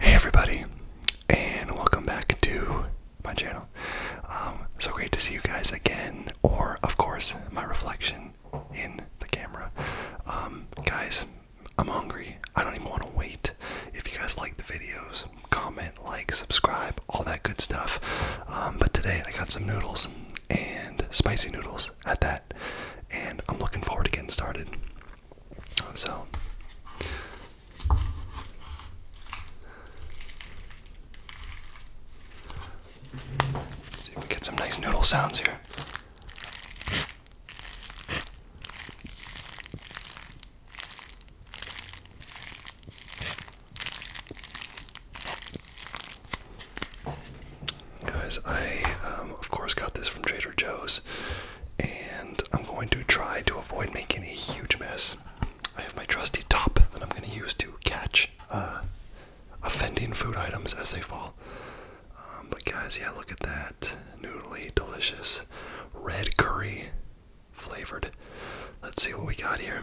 Hey everybody, and welcome back to my channel. Um, so great to see you guys again, or of course, my reflection in the camera. Um, guys, I'm hungry. I don't even want to wait. If you guys like the videos, comment, like, subscribe, all that good stuff. Um, but today I got some noodles and spicy noodles at that. And I'm looking forward to getting started. So. see if we get some nice noodle sounds here. Guys, I um, of course got this from Trader Joe's, and I'm going to try to avoid making a huge mess. I have my trusty top that I'm going to use to catch uh, offending food items as they fall. Um, but guys, yeah, look at that noodly, delicious red curry flavored. Let's see what we got here.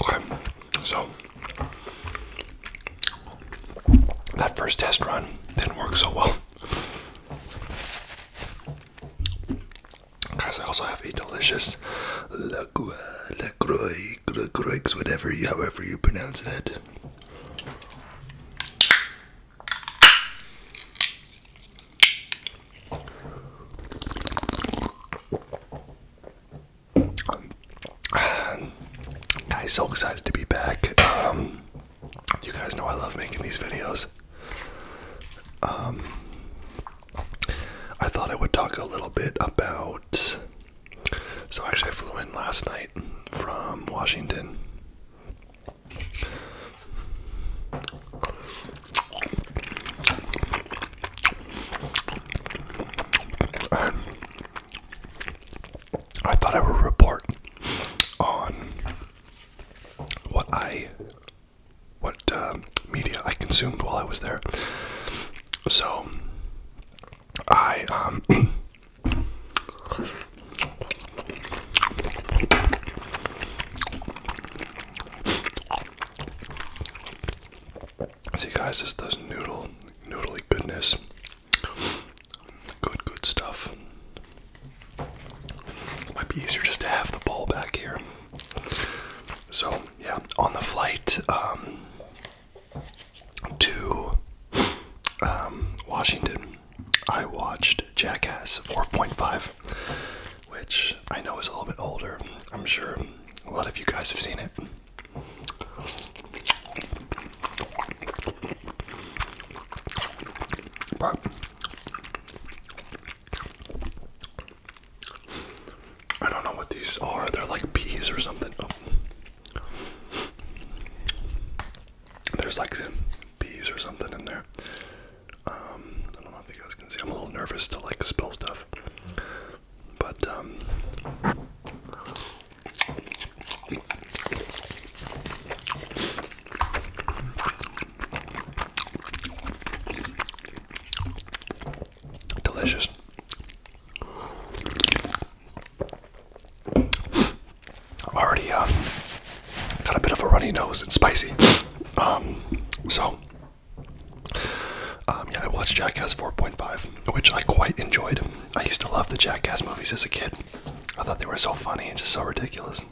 Okay, so that first test run didn't work so well. Guys, I also have a delicious Lacroix, Lacroix, Lacroix, whatever, however you pronounce that. Guys, so excited to be back. Um, you guys know I love making these videos. Um, I thought I would talk a little bit about. So, actually, I flew in last night from Washington. I thought I would report on what I, what uh, media I consumed while I was there. So, I, um, See guys, this does noodle, noodly goodness. Good, good stuff. might be easier just to have the bowl back here. So yeah, on the flight um, to um, Washington, I watched Jackass 4.5, which I know is a little bit older. I'm sure a lot of you guys have seen it. I don't know what these are. They're like peas or something. Oh. There's like peas or something in there. Um, I don't know if you guys can see. I'm a little nervous to like spill stuff. But um delicious. Already uh, got a bit of a runny nose. and spicy. Um, so, um, yeah, I watched Jackass 4.5, which I quite enjoyed. I used to love the Jackass movies as a kid. I thought they were so funny and just so ridiculous.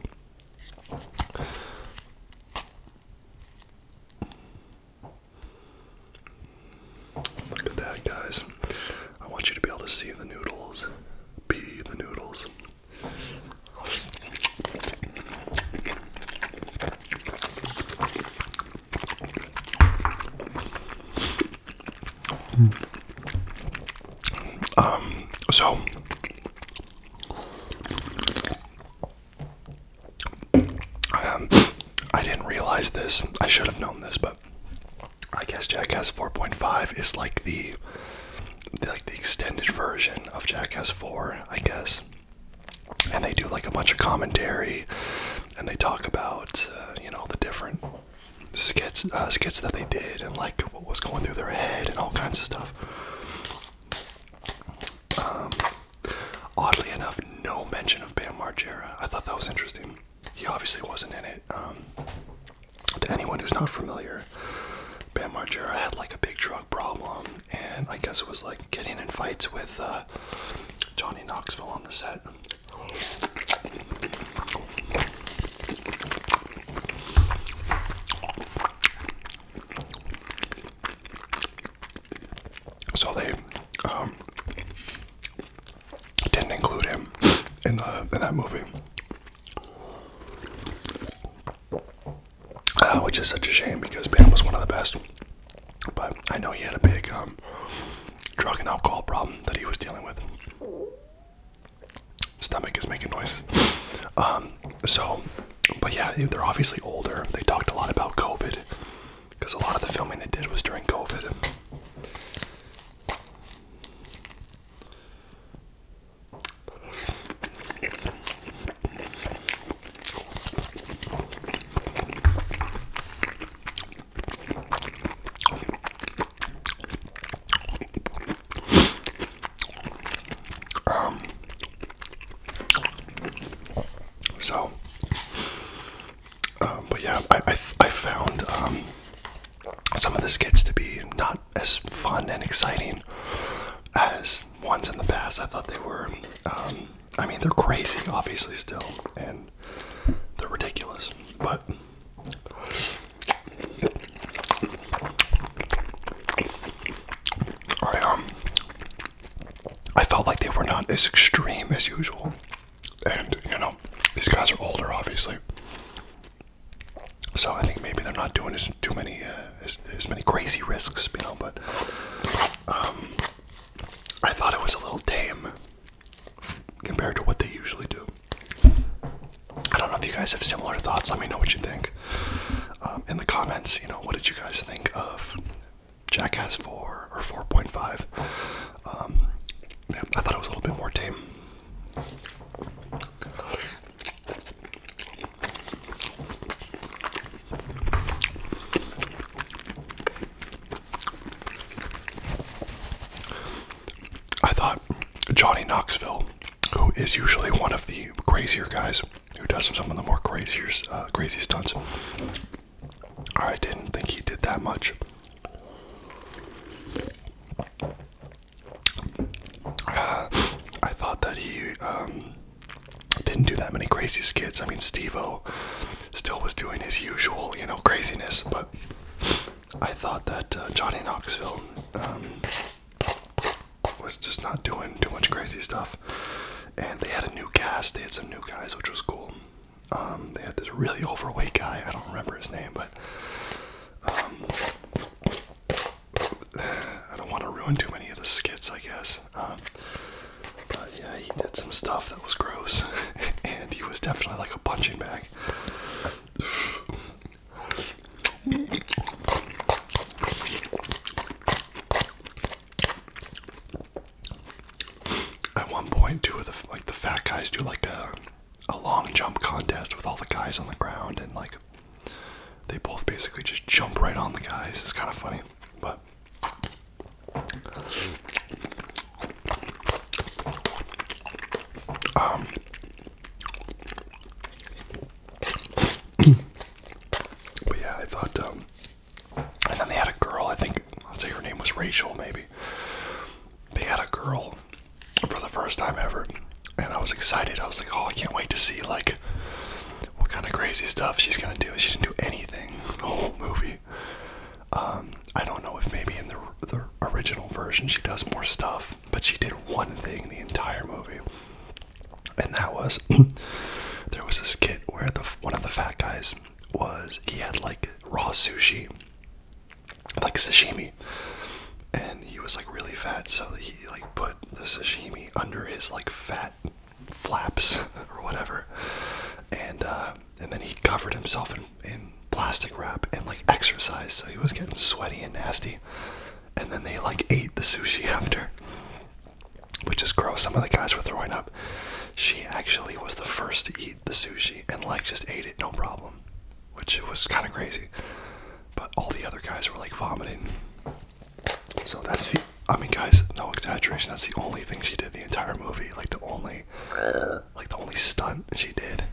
Look at that, guys. I want you to be able to see the noodles. Be the noodles. Um, so um, I didn't realize this. I should have known this, but I guess Jackass 4.5 is like the, like the extended version of Jackass 4, I guess. And they do like a bunch of commentary, and they talk about uh, you know the different skits, uh, that they did, and like what was going through their head, and all kinds of stuff. Um, oddly enough, no mention of Bam Margera. I thought that was interesting. He obviously wasn't in it. Um, to anyone who's not familiar, Bam Margera had like a big drug problem, and I guess it was like getting in fights with uh, Johnny Knoxville on the set. So they um, didn't include him in the in that movie, uh, which is such a shame because Bam was one of the best. But I know he had a big um, drug and alcohol problem that he was dealing with. Stomach is making noises. Um, so, but yeah, they're obviously older. They talked a lot about COVID because a lot of the filming they did was during COVID. Um, so, uh, but yeah, I, I, found um, some of the skits to be not as fun and exciting as ones in the past. I thought they were, um, I mean, they're crazy, obviously, still, and they're ridiculous. But I um I felt like they were not as extreme as usual. And you know, these guys are older obviously. So I think maybe they're not doing as too many uh, as, as many crazy risks, you know, but um I thought it was a little tame compared to what they usually do. I don't know if you guys have similar thoughts. Let me know what you think um, in the comments. You know, what did you guys think of Jackass 4 or 4.5? Um, I thought it was a little bit more tame. I thought Johnny Knoxville, who is usually one of the crazier guys, who does some of the more crazier, uh, crazy stunts, I didn't think he did that much. Uh, I thought that he um, didn't do that many crazy skits. I mean, Steve-O still was doing his usual, you know, craziness, but I thought that uh, Johnny Knoxville um, was just not doing too much crazy stuff. And they had a new cast. They had some new guys, which was cool. Um, they had this really overweight guy. I don't remember his name, but um, I don't want to ruin too many of the skits, I guess. Um, but yeah, he did some stuff that was gross, and he was definitely like a punching bag like at one point two of the like the fat guys do like a a long jump contest with all the guys on the ground and like they both basically just jump right on the guys. It's kind of funny, but um, but yeah, I thought, um, and then they had a girl, I think, I'll say her name was Rachel, maybe. They had a girl for the first time ever, and I was excited. I was like, oh, I can't wait to see, like, what kind of crazy stuff she's gonna do. She didn't do anything the whole movie. Um, I don't know if maybe in the the original version she does more stuff, but she did one thing in the entire movie, and that was there was a skit where the one of the fat guys was he had like raw sushi, like sashimi, and he was like really fat, so he like put the sashimi under his like fat flaps or whatever, and uh, and then he covered himself in, in plastic wrap and like exercised, so he was getting sweaty and nasty. And then they like ate the sushi after, which is gross. Some of the guys were throwing up. She actually was the first to eat the sushi and like just ate it no problem, which was kind of crazy. But all the other guys were like vomiting. So that's the. I mean, guys, no exaggeration. That's the only thing she did the entire movie. Like the only like the only stunt she did.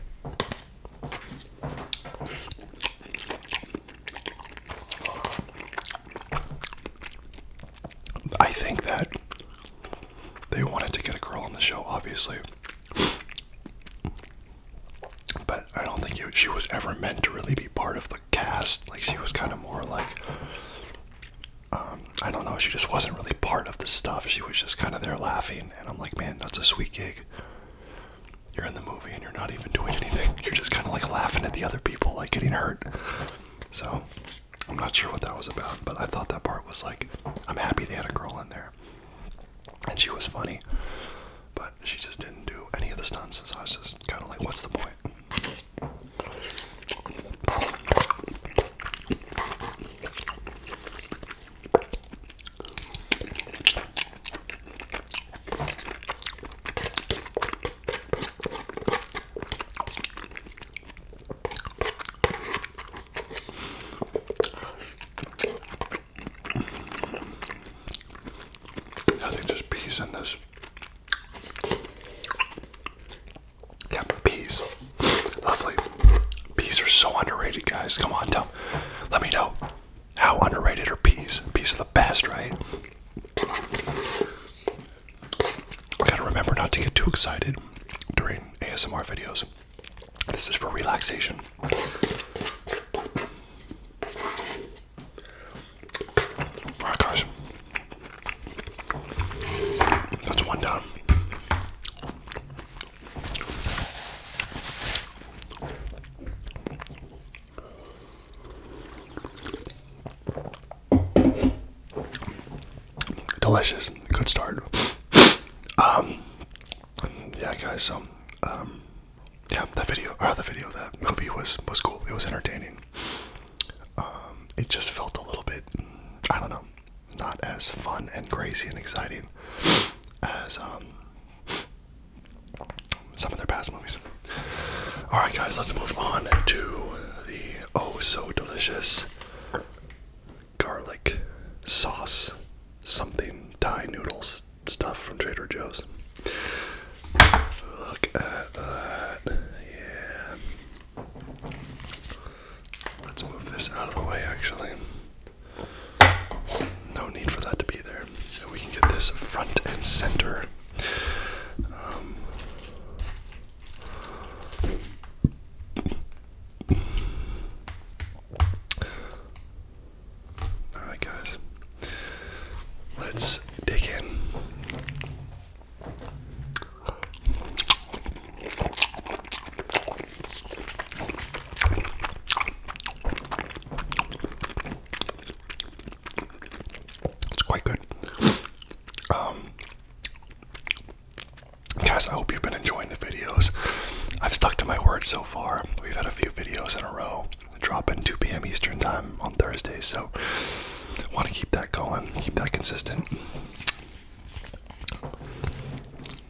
I think that they wanted to get a girl on the show, obviously. But I don't think she was ever meant to really be part of the cast. Like, she was kind of more like, um, I don't know, she just wasn't really part of the stuff. She was just kind of there laughing and I'm like, man, that's a sweet gig. You're in the movie and you're not even doing anything. You're just kind of like laughing at the other people, like getting hurt. So I'm not sure what that was about, but I thought that part was like, I'm happy they had a girl in there, and she was funny, but she just didn't do any of the stunts. So I was just kind of like, what's the point? I think there's peas in this. Yeah, peas. Lovely. Peas are so underrated, guys. Come on, tell. Let me know how underrated are peas. Peas are the best, right? I gotta remember not to get too excited during ASMR videos. This is for relaxation. Alright, guys. That's one down. Delicious. Good start. Um, yeah, guys. So, um, yeah, the video or uh, the video, that movie was was cool. It was entertaining. Um, it just felt a little bit. I don't know not as fun and crazy and exciting as um, some of their past movies. All right, guys, let's move on to the oh so delicious garlic sauce something Thai noodles stuff from Trader Joe's. Look at that. Yeah. Let's move this out of the way, actually. No need for that to be there. So we can get this front and center. Um, Alright, guys, let's dig in. It's quite good. Um, guys, I hope you've been enjoying the videos. I've stuck to my word so far. We've had a few videos in a row dropping 2 p.m. Eastern time on Thursday, so want to keep that going, keep that consistent.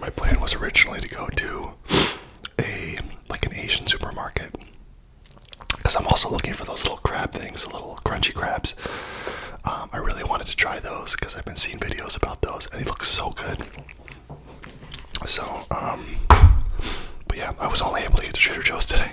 my plan was originally to go to a like an Asian supermarket because I'm also looking for those little crab things, the little crunchy crabs. Um, I really wanted to try those because I've been seeing videos about those and they look so good. So, um, but yeah, I was only able to get to Trader Joe's today.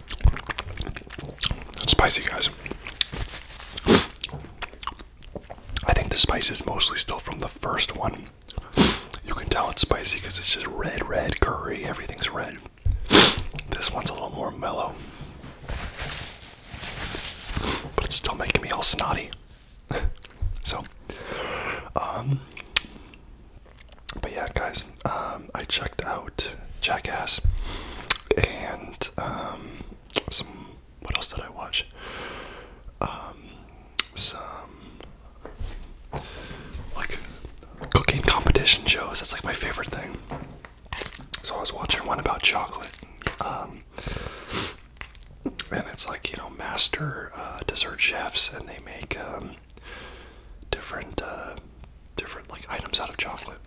It's spicy, guys. I think the spice is mostly still from the first one. You can tell it's spicy because it's just red, red curry. Everything's red. This one's a little more mellow. But it's still making me all snotty. so, um, but yeah, guys, um, I checked out Jackass and um, some. What else did I watch? Um, some like cooking competition shows. That's like my favorite thing. So I was watching one about chocolate, and it's like you know master uh, dessert chefs, and they make different uh, different like items out of chocolate.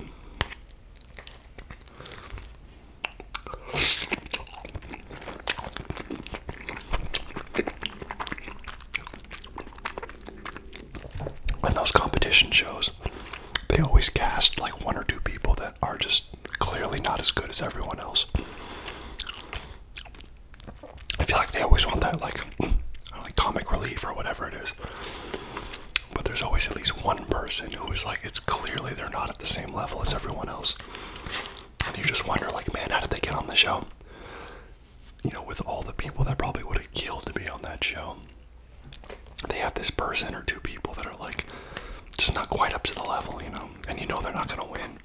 And those competition shows, they always cast like one or two people that are just clearly not as good as everyone else. I feel like they always want that like, like comic relief or whatever it is but there's always at least one person who is like it's clearly they're not at the same level as everyone else and you just wonder like man how did they get on the show you know with all the people that probably would have killed to be on that show they have this person or two people that are like just not quite up to the level you know and you know they're not going to win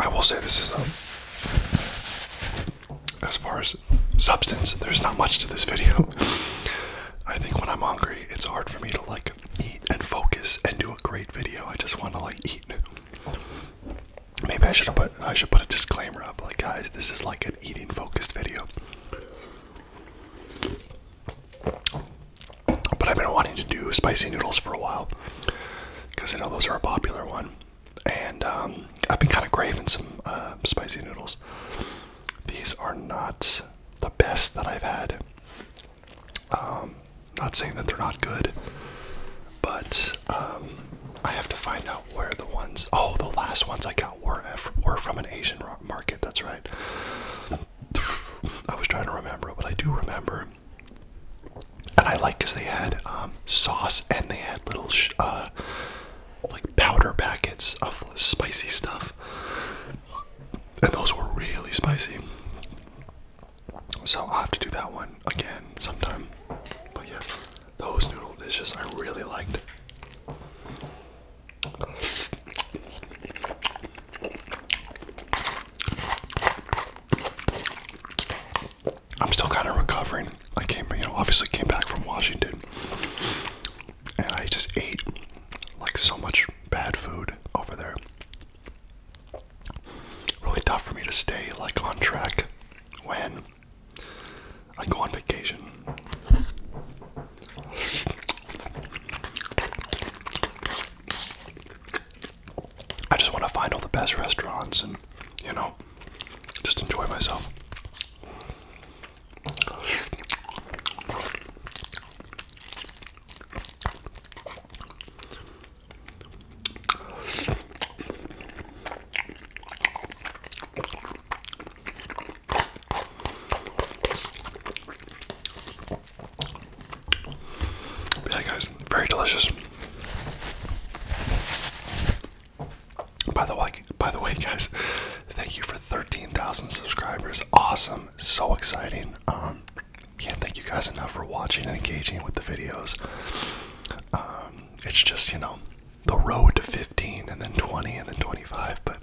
I will say this is um, as far as substance, there's not much to this video. I think when I'm hungry, it's hard for me to like eat and focus and do a great video. I just want to like eat. Maybe I should put I should put a disclaimer up like guys, this is like an eating focused video. But I've been wanting to do spicy noodles for a while because I know those are a popular one, and um, I've been kind of craving some uh, spicy noodles. These are not the best that I've had. Um, not saying that they're not good, but um, I have to find out where the ones. Oh, the last ones I got were were from an Asian market. That's right. I was trying to remember, but I do remember. And I like because they had um, sauce and they had little sh uh, like powder packets of spicy stuff, and those were really spicy. So I'll have to do that one again sometime. But yeah, those noodle dishes I really liked. I'm still kind of recovering. I came, you know, obviously came back from Washington, and I just ate like so much bad food over there really tough for me to stay like on track when I go on vacation. I just want to find all the best restaurants and, you know, just enjoy myself. Yeah, guys, very delicious. By the way, by the way, guys, thank you for 13,000 subscribers. Awesome, so exciting. Um, can't thank you guys enough for watching and engaging with the videos. Um, it's just, you know, the road to 15 and then 20 and then 25. But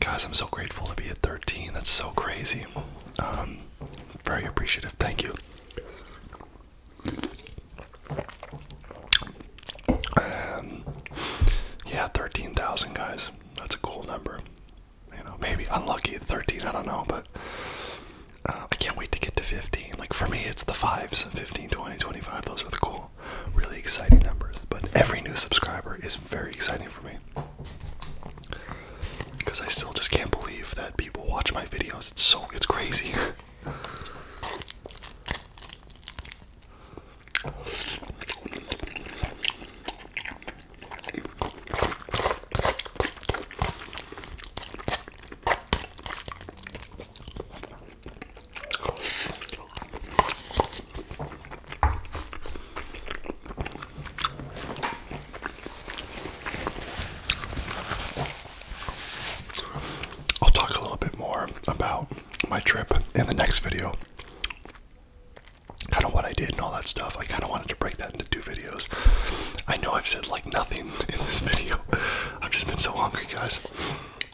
guys, I'm so grateful to be at 13. That's so crazy. Um, very appreciative. Thank you. yeah, 13,000 guys. That's a cool number you know, maybe unlucky at 13, I don't know, but uh, I can't wait to get to 15. Like, for me, it's the fives 15, 20, 25. Those are the cool, really exciting numbers. But every new subscriber is very exciting for me because I still just can't believe that people watch my videos. It's so, it's crazy. I'll talk a little bit more about my trip in the next video. Kind of what I did and all that stuff. I kind of wanted to break that do videos. I know I've said like nothing in this video. I've just been so hungry, guys.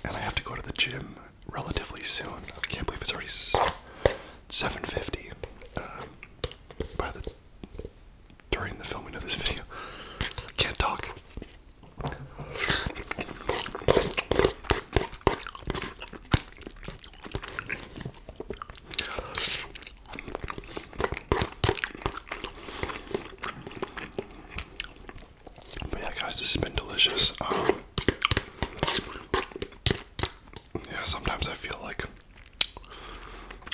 And I have to go to the gym relatively soon. I can't believe it's already 7:50 uh, during the filming of this video. I can't talk. But yeah, guys, this has been delicious. Um, yeah, sometimes I feel like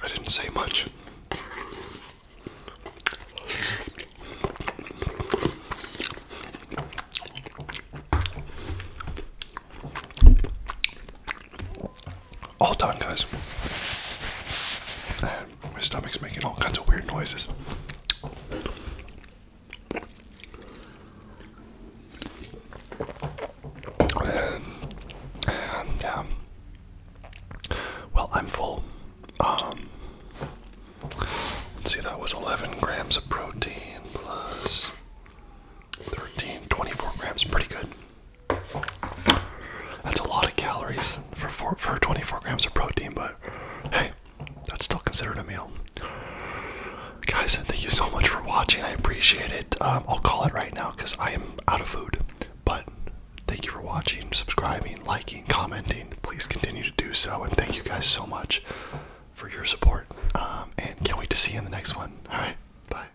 I didn't say much. All done, guys. my stomach's making all kinds of weird noises. And, well, I'm full. Um, see, that was 11 grams of protein plus 13, 24 grams. Pretty good. That's a lot of calories for for 24 grams of protein, but hey, that's still considered a meal. Guys, thank you so much for watching. I appreciate it. Um, I'll call it right now because I am out of food. But thank you for watching, subscribing, liking, commenting. Please continue to do so, and thank you guys so much for your support. Um, and can't wait to see you in the next one. All right, bye.